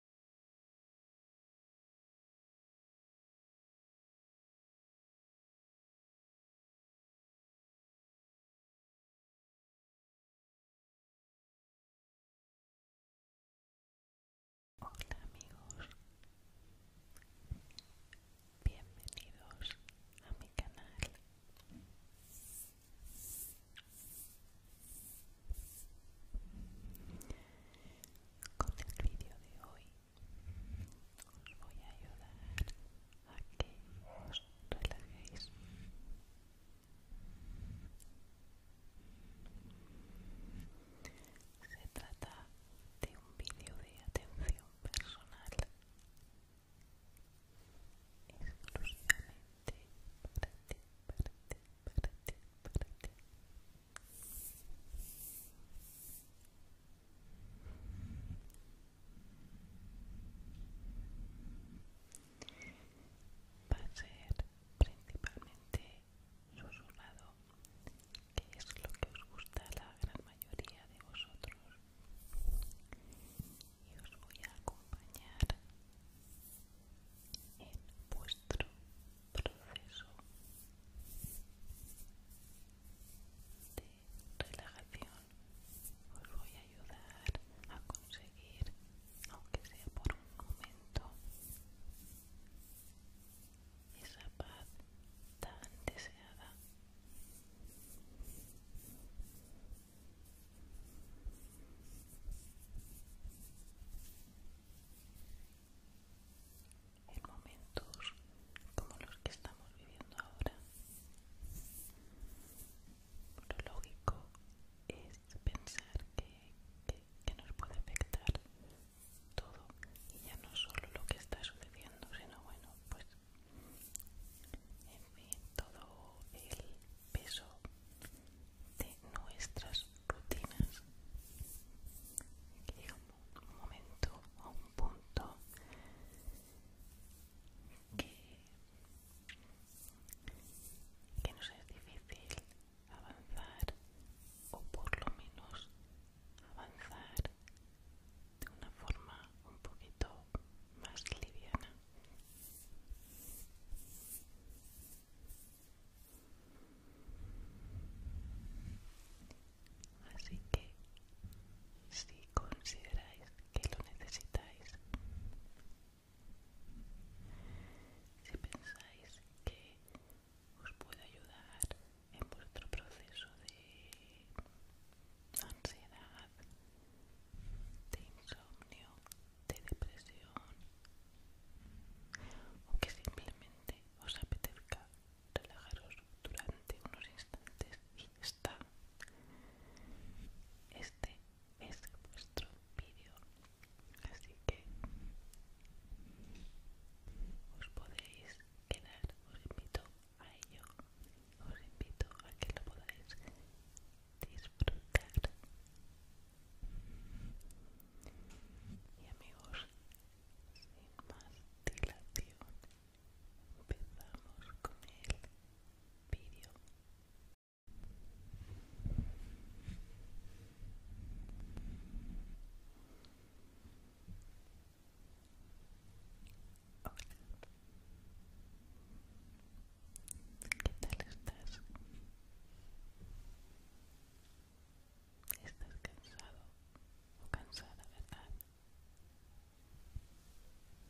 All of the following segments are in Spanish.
Hola amigos, bienvenidos a mi canal. Con el vídeo de hoy os voy a ayudar a que os relajéis. Se trata de un vídeo de atención personal exclusivamente Va a ser principalmente susurrado, que es lo que os gusta a la gran mayoría de vosotros. Y os voy a acompañar en vuestro proceso de relajación os voy a ayudar a conseguir aunque sea por un momento esa paz tan deseada en momentos como los que estamos viviendo ahora. Lo lógico es pensar que, nos puede afectar todo y ya no solo lo que está sucediendo, sino bueno, pues en fin, todo el peso de nuestras rutinas que llega un momento a un punto que, que nos es difícil avanzar o por lo menos avanzar de una forma un poquito más liviana Así que si consideráis que lo necesitáis, si pensáis que os puede ayudar en vuestro proceso de ansiedad, de insomnio, de depresión, o que simplemente os apetezca relajaros durante unos instantes y está este es vuestro vídeo así que os podéis quedar os invito a ello os invito a que lo podáis disfrutar y amigos sin más dilación empezamos con el vídeo ¿Qué tal estás? Estás cansado o cansada, ¿verdad?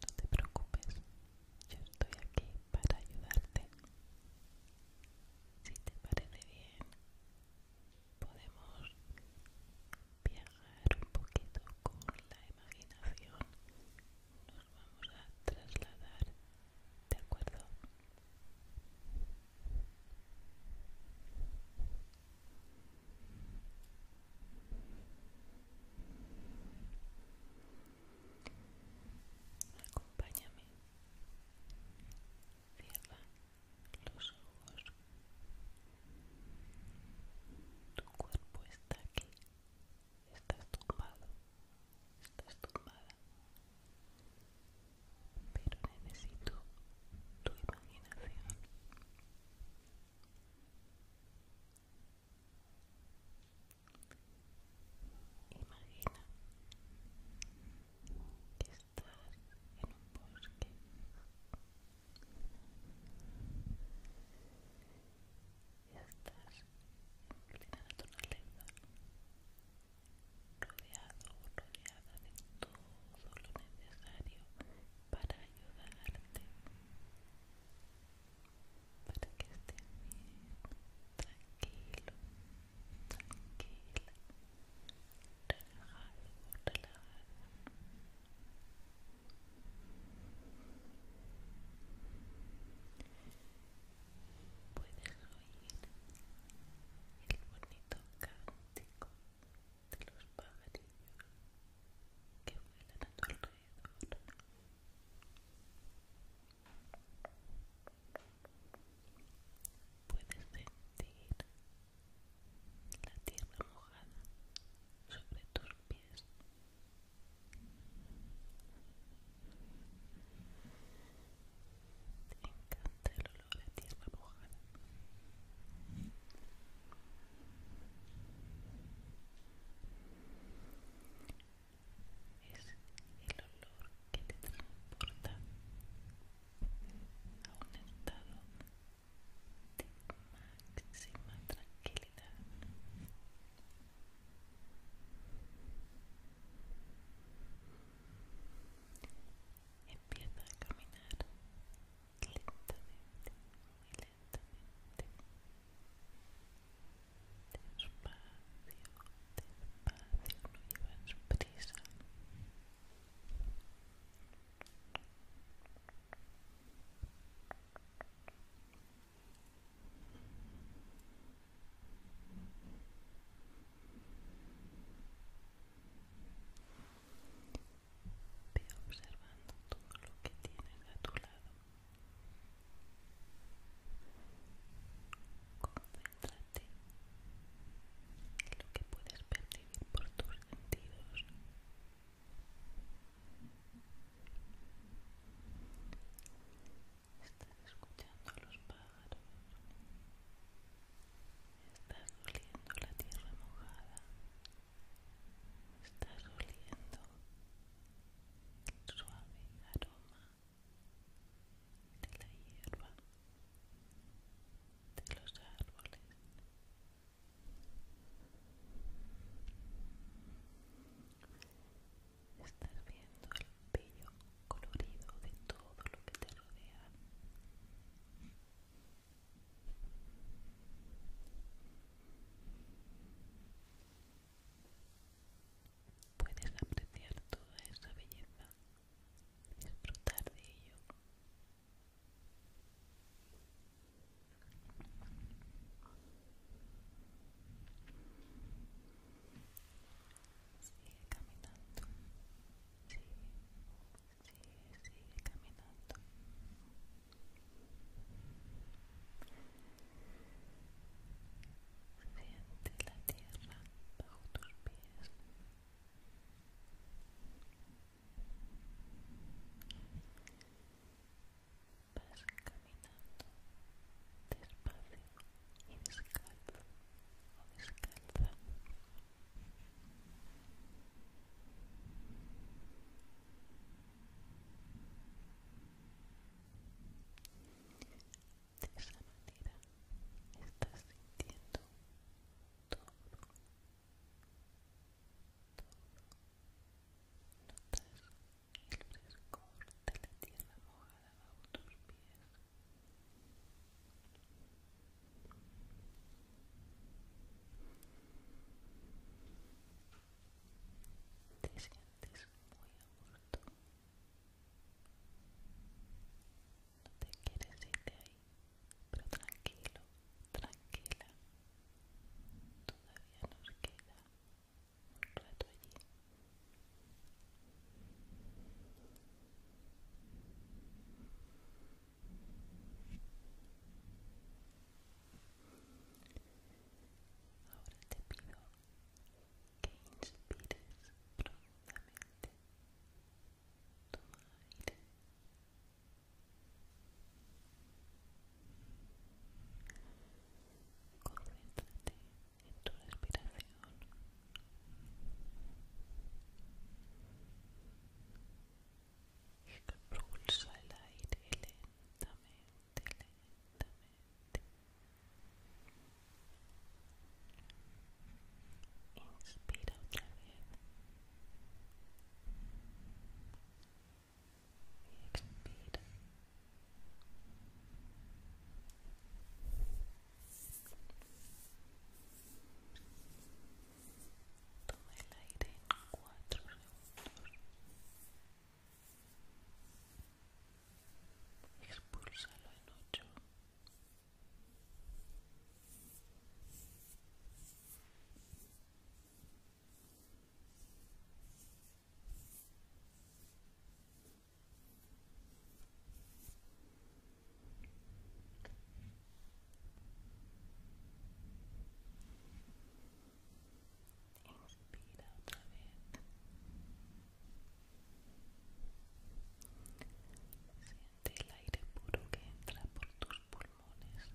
No te preocupes, yo estoy aquí para ayudarte. Si te parece bien, podemos viajar un poquito con la imaginación vamos a trasladar, ¿de acuerdo? Acompáñame. Cierra los ojos. Tu cuerpo está aquí estás tumbado, estás tomada pero necesito tu imaginación. Imagina que estás en un bosque estás estás en tu naturaleza, rodeado o rodeada de todo lo necesario para ayudarte, para que estés bien, tranquilo, tranquila, relajado o puedes oír el bonito cántico de los pájaros que vuelan a tu alrededor. Puedes sentir la tierra mojada sobre tus pies encanta el olor de tierra mojada es el olor que te transporta a un estado de máxima tranquilidad Empieza a caminar lentamente, muy lentamente. Despacio, despacio, no llevas prisa. Ve observando todo lo que tienes a tu lado. Concéntrate en lo que puedes percibir por tus sentidos. Estás escuchando los pájaros. Estás oliendo la tierra mojada. Estás oliendo el suave aroma de la hierba, de los árboles. Estás viendo el bello colorido de todo lo que te rodea. Puedes apreciar toda esa belleza, disfrutar de ello. Sigue caminando. Sigue, sí, sigue caminando. Siente la tierra bajo tus pies. Vas caminando despacio y descalzo o descalza. De esa manera estás sintiendo todo, todo. Notas el de la tierra mojada bajo tus pies. Te sientes muy aburrido. No te quieres ir de ahí, pero tranquilo, tranquila. Todavía nos queda ahora te pido que inspires profundamente Concéntrate en tu respiración. Expulsa el aire lentamente, lentamente. Inspira otra vez. Toma el aire en cuatro segundos. en ocho. Inspira otra vez. Siente el aire puro que entra por tus pulmones.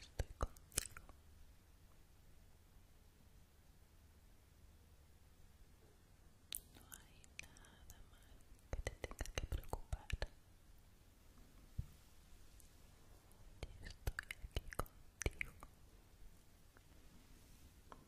Estoy contigo. No hay nada más que te tenga que preocupar. Estoy aquí contigo.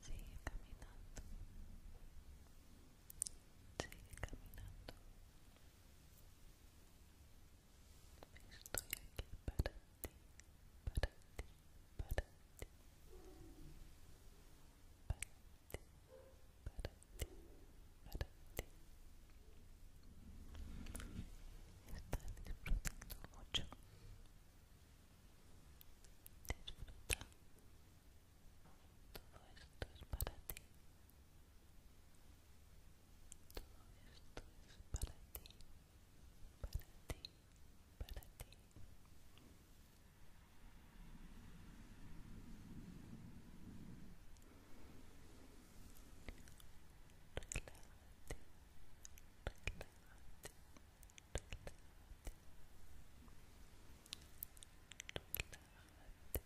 Sigue caminando. Sigue caminando. Estoy aquí para ti, para ti, para ti. Para ti, para ti, para ti. Estás disfrutando mucho. Todo esto es para ti. Todo esto es para ti. Para ti. Para ti. Relájate. Relájate. Ya va siendo hora de regresar y lo vas a hacer completamente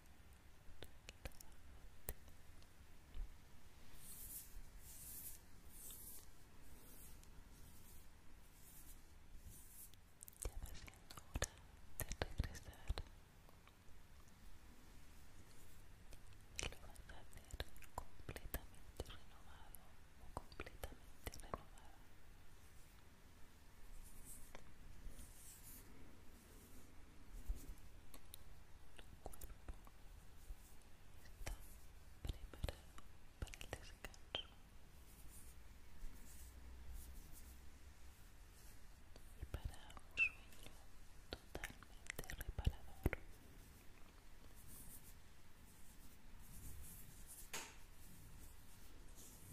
renovado o completamente renovada está preparado para el descanso y para un sueño totalmente reparador. Despídete de la naturaleza. Pronto regresarás.